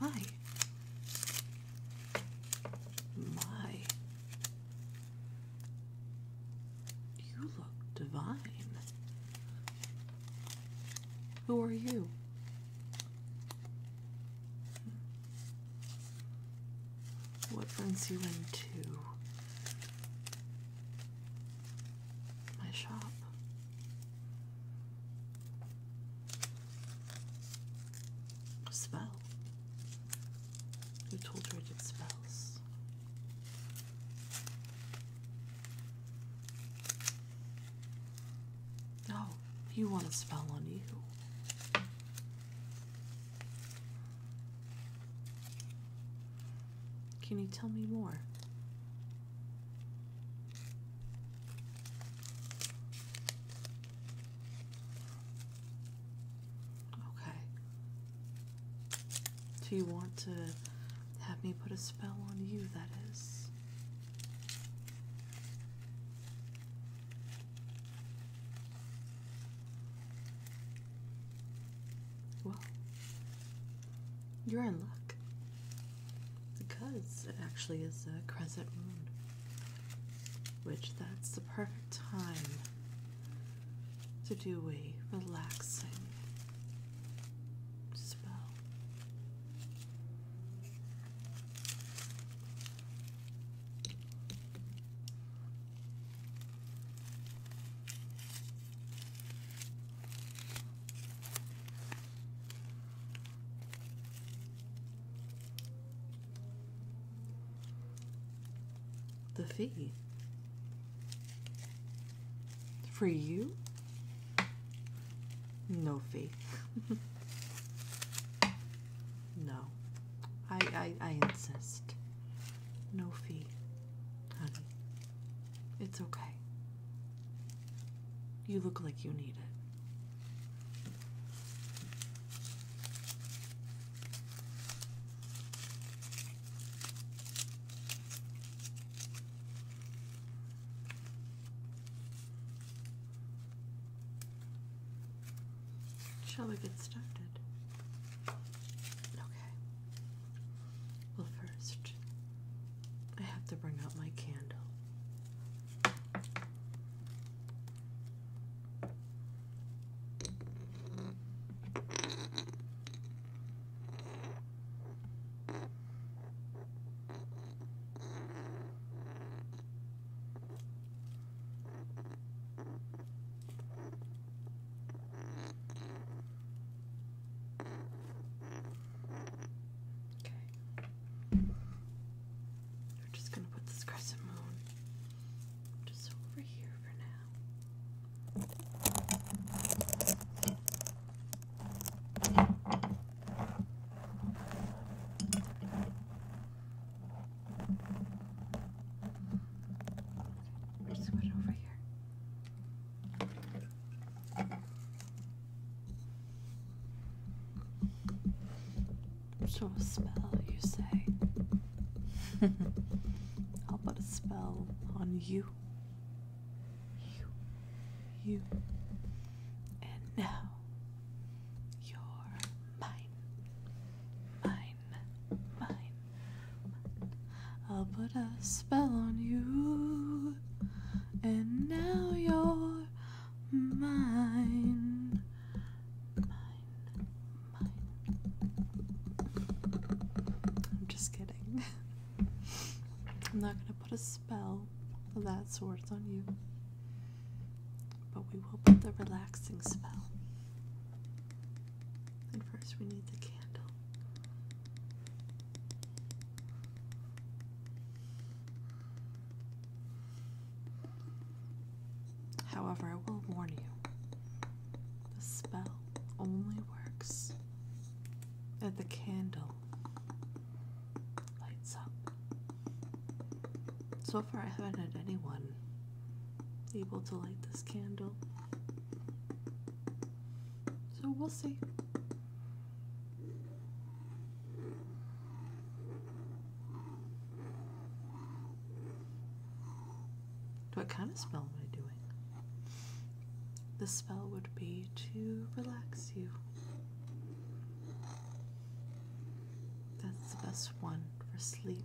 My. My. You look divine. Who are you? What brings you into my shop. Spell. Who told her I spells? No, you want a spell on you. Can you tell me more? Okay. Do you want to have me put a spell on you, that is? Well, you're in luck because it actually is a crescent moon, which that's the perfect time to do a relaxing spell. The fee for you? No fee. no. I, I I insist. No fee, honey. It's okay. You look like you need it. Shall we get started? Okay. Well, first, I have to bring out my candle. Okay. We're just going to put this crescent moon just over here for now. Just put it over here. Sure spell, you say? I'll put a spell on you. You. You. And now, you're mine. Mine. Mine. I'll put a spell on you, and now you're mine. Mine, mine. I'm just kidding. I'm not gonna put a spell of that sort on you, but we will put the relaxing spell. And first, we need the candle. However, I will warn you the spell only works if the candle lights up. So far, I haven't had anyone able to light this candle. So we'll see. What kind of spell am i doing? The spell would be to relax you. That's the best one for sleep.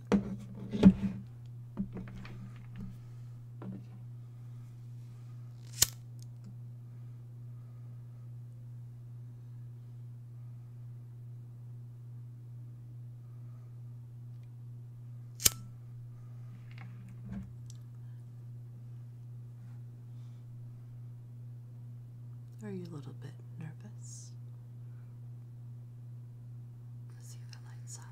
Are you a little bit nervous? Let's see if it lights up.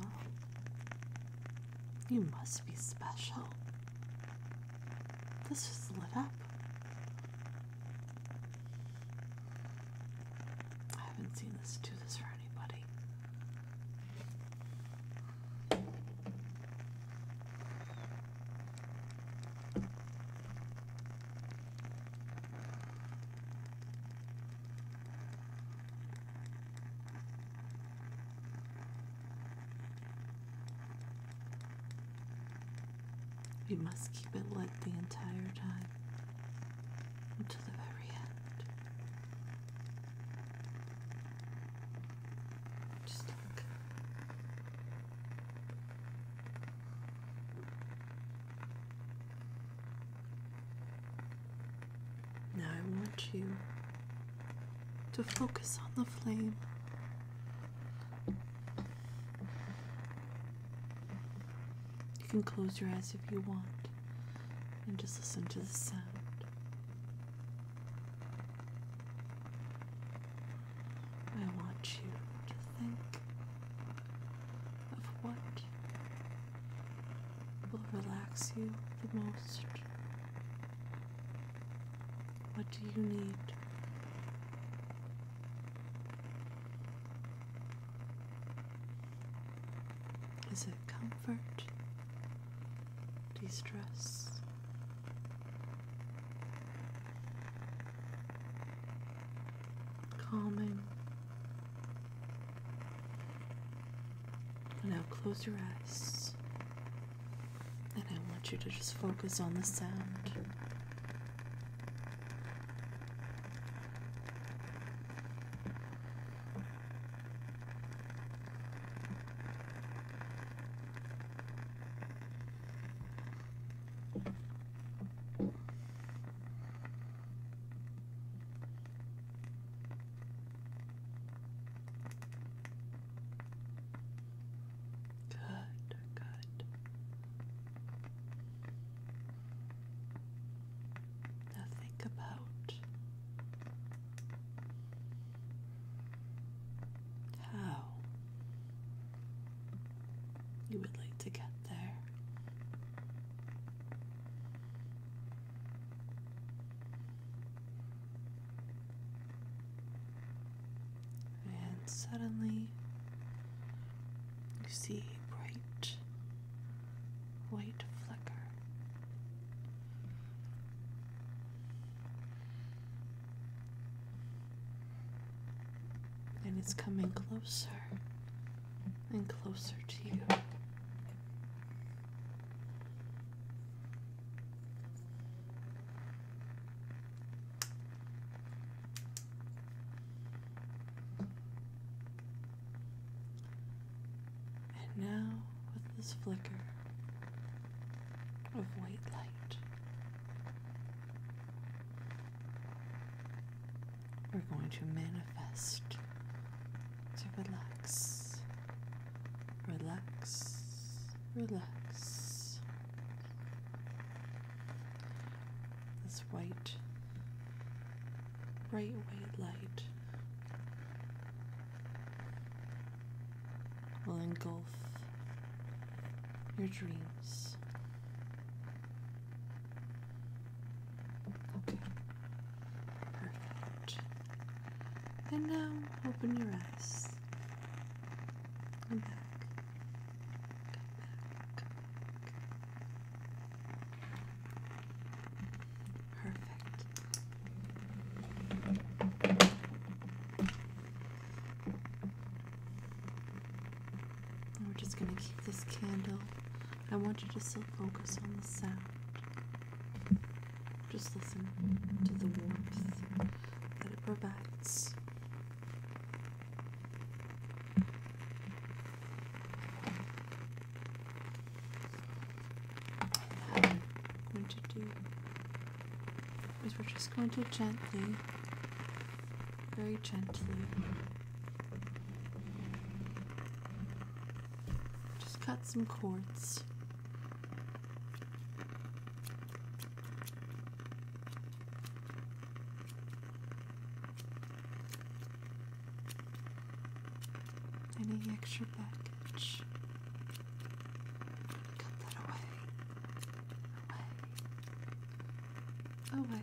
Oh. you must be special. This is lit up. I haven't seen this do this for anybody. We must keep it lit the entire time until the very end. Just look. Now I want you to focus on the flame. You can close your eyes if you want and just listen to the sound. I want you to think of what will relax you the most? What do you need? Is it comfort? De stress? Calming? Now close your eyes. And I want you to just focus on the sound. Good, good. Now think about how you would like to get there. And suddenly you see a bright white flicker. And it's coming closer and closer to you. And now, with this flicker of white light, we're going to manifest to relax, relax, relax. This white, bright white light will engulf your dreams. Okay. Perfect. And now open your eyes. Come back. Come back. Perfect. we're just going to keep this candle. I want you to still focus on the sound. Just listen to the warmth that it provides. And we're going to do is we're just going to gently, very gently, just cut some cords any extra package? Cut that away. Away. Away.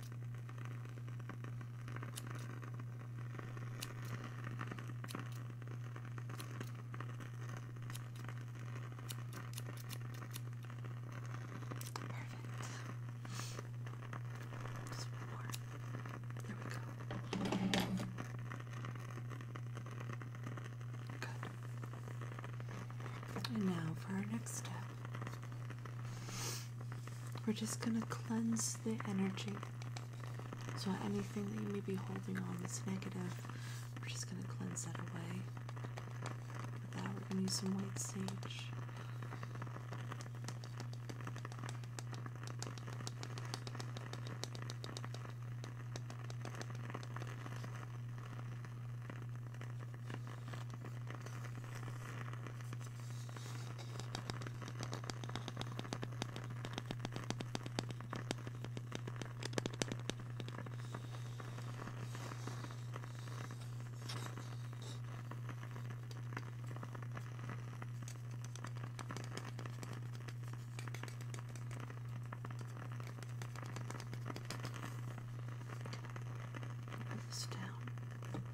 Perfect. Just one more. There we go. Good. And now for our next step. We're just going to cleanse the energy. So anything that you may be holding on is negative, we're just going to cleanse that away. With that, we're going to use some white sage. Put this down.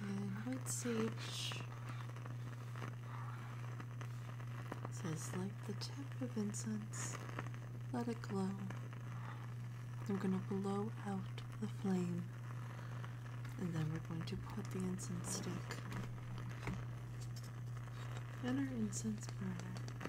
And White Sage says, like the tip of incense, let it glow. We're going to blow out the flame. And then we're going to put the incense stick in our incense burner.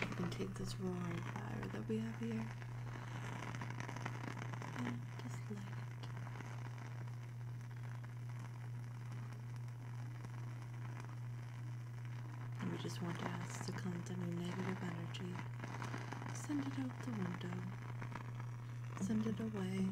I can take this roaring fire that we have here And we just want to ask to cleanse any negative energy, send it out the window, send it away.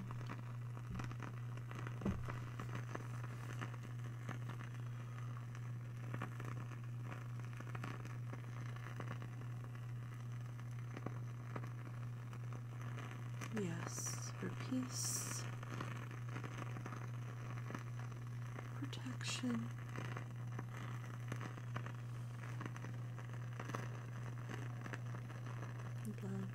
Yes, for peace, protection. Love.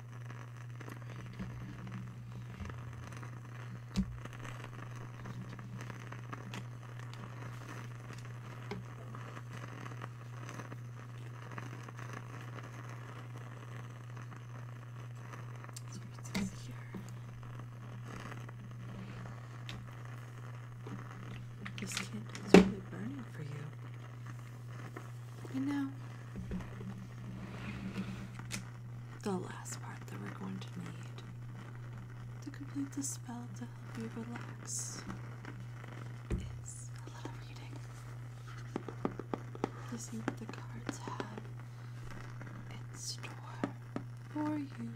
So it says here. This candle is really burning for you. And now, the last part that we're going to need to complete the spell to help you relax is a little reading the cards have in store for you.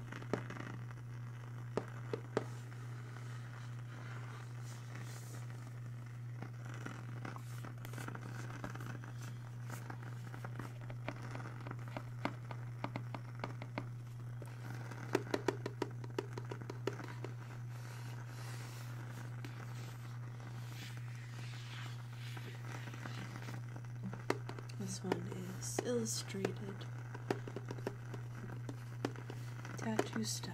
This one is illustrated tattoo style.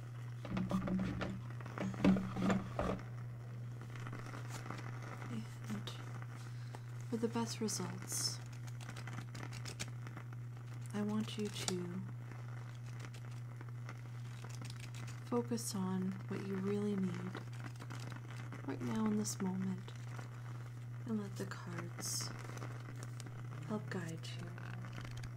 for the best results, I want you to focus on what you really need right now in this moment and let the cards help guide you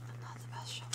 I'm not the best shoveler.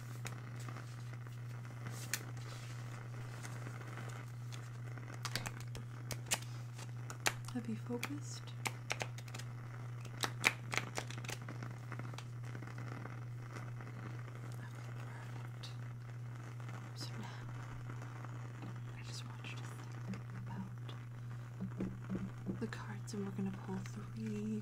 Have you focused? perfect. So now I just want you about the cards, and we're going to pull three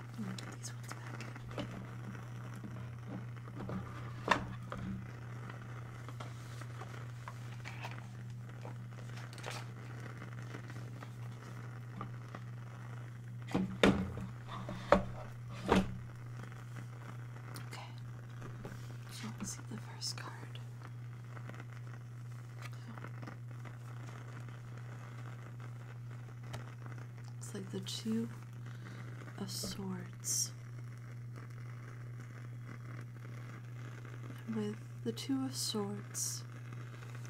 I'm gonna get these ones back. Okay, so let's see the first card. So. It's like the Two of Swords. And with the Two of Swords,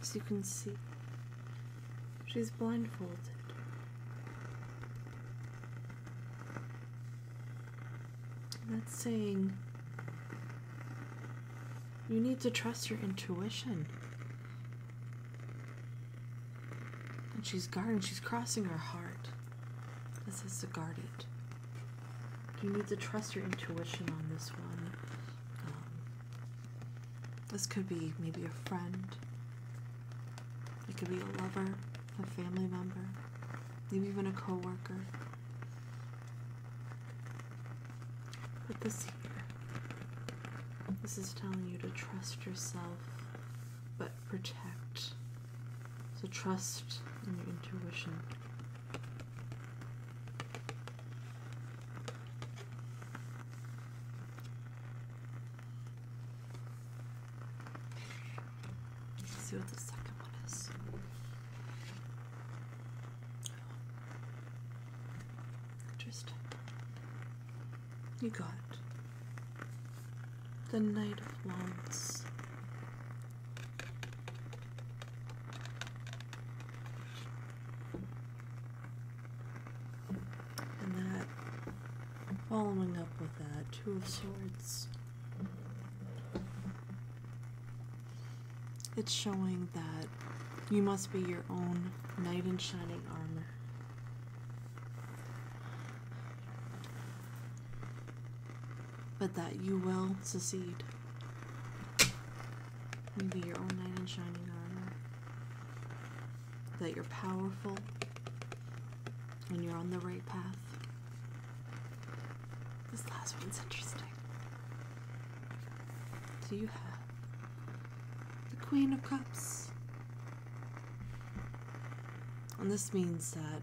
as you can see, she's blindfolded. that's saying you need to trust your intuition. And she's guarding, she's crossing her heart. This is the guard You need to trust your intuition on this one. Um, this could be maybe a friend, it could be a lover, a family member, maybe even a coworker. worker. But this here, this is telling you to trust yourself but protect. So trust in your intuition. see what the second one is. Interesting. You got the Knight of Wands. And that, following up with that, Two of Swords. It's showing that you must be your own knight in shining armor but that you will succeed and be your own knight in shining armor. That you're powerful and you're on the right path. This last one's interesting. Do you have the Queen of Cups, and this means that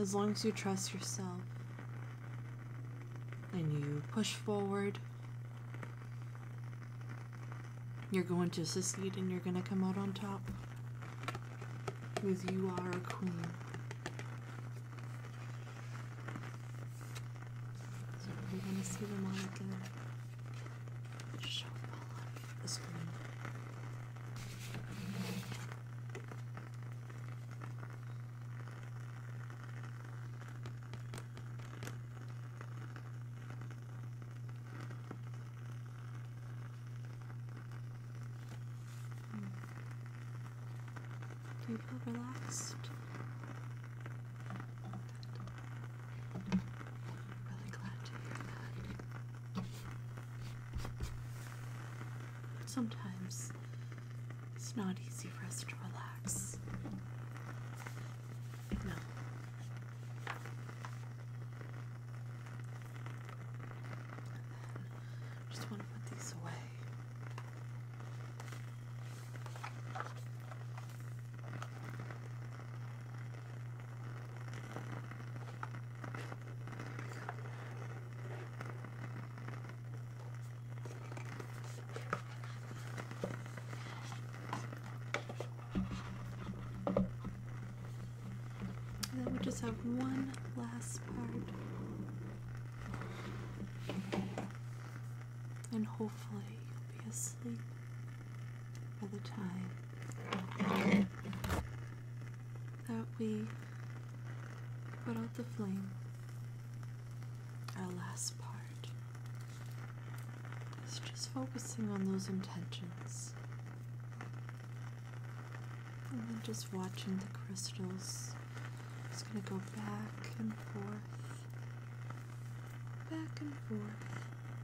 as long as you trust yourself and you push forward, you're going to succeed and you're going to come out on top because you are a queen. we're going to see the monarch just show it all on the screen. Do you feel relaxed? Good. Really glad to hear that. sometimes it's not easy for us to relax. No. just want to put these away. And then we just have one last part. And hopefully you'll be asleep by the time that we put out the flame, our last part is just focusing on those intentions. And then just watching the crystals. just going to go back and forth, back and forth.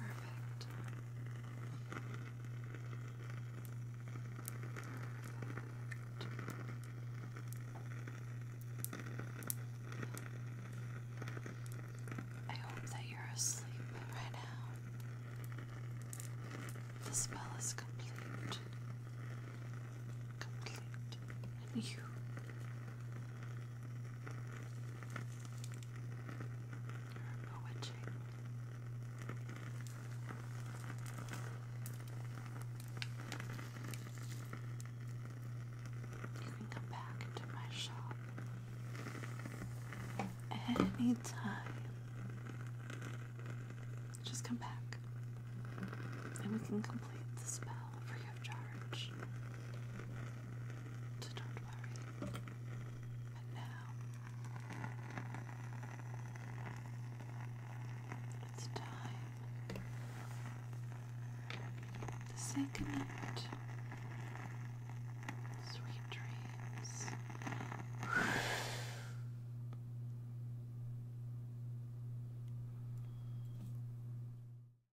Perfect. I hope that you're asleep right now. The spell is complete. Complete. And you bewitching. You can come back to my shop anytime. Just come back and we can complete the spell for you of charge. So don't worry. But now, it's time to say Sweet dreams.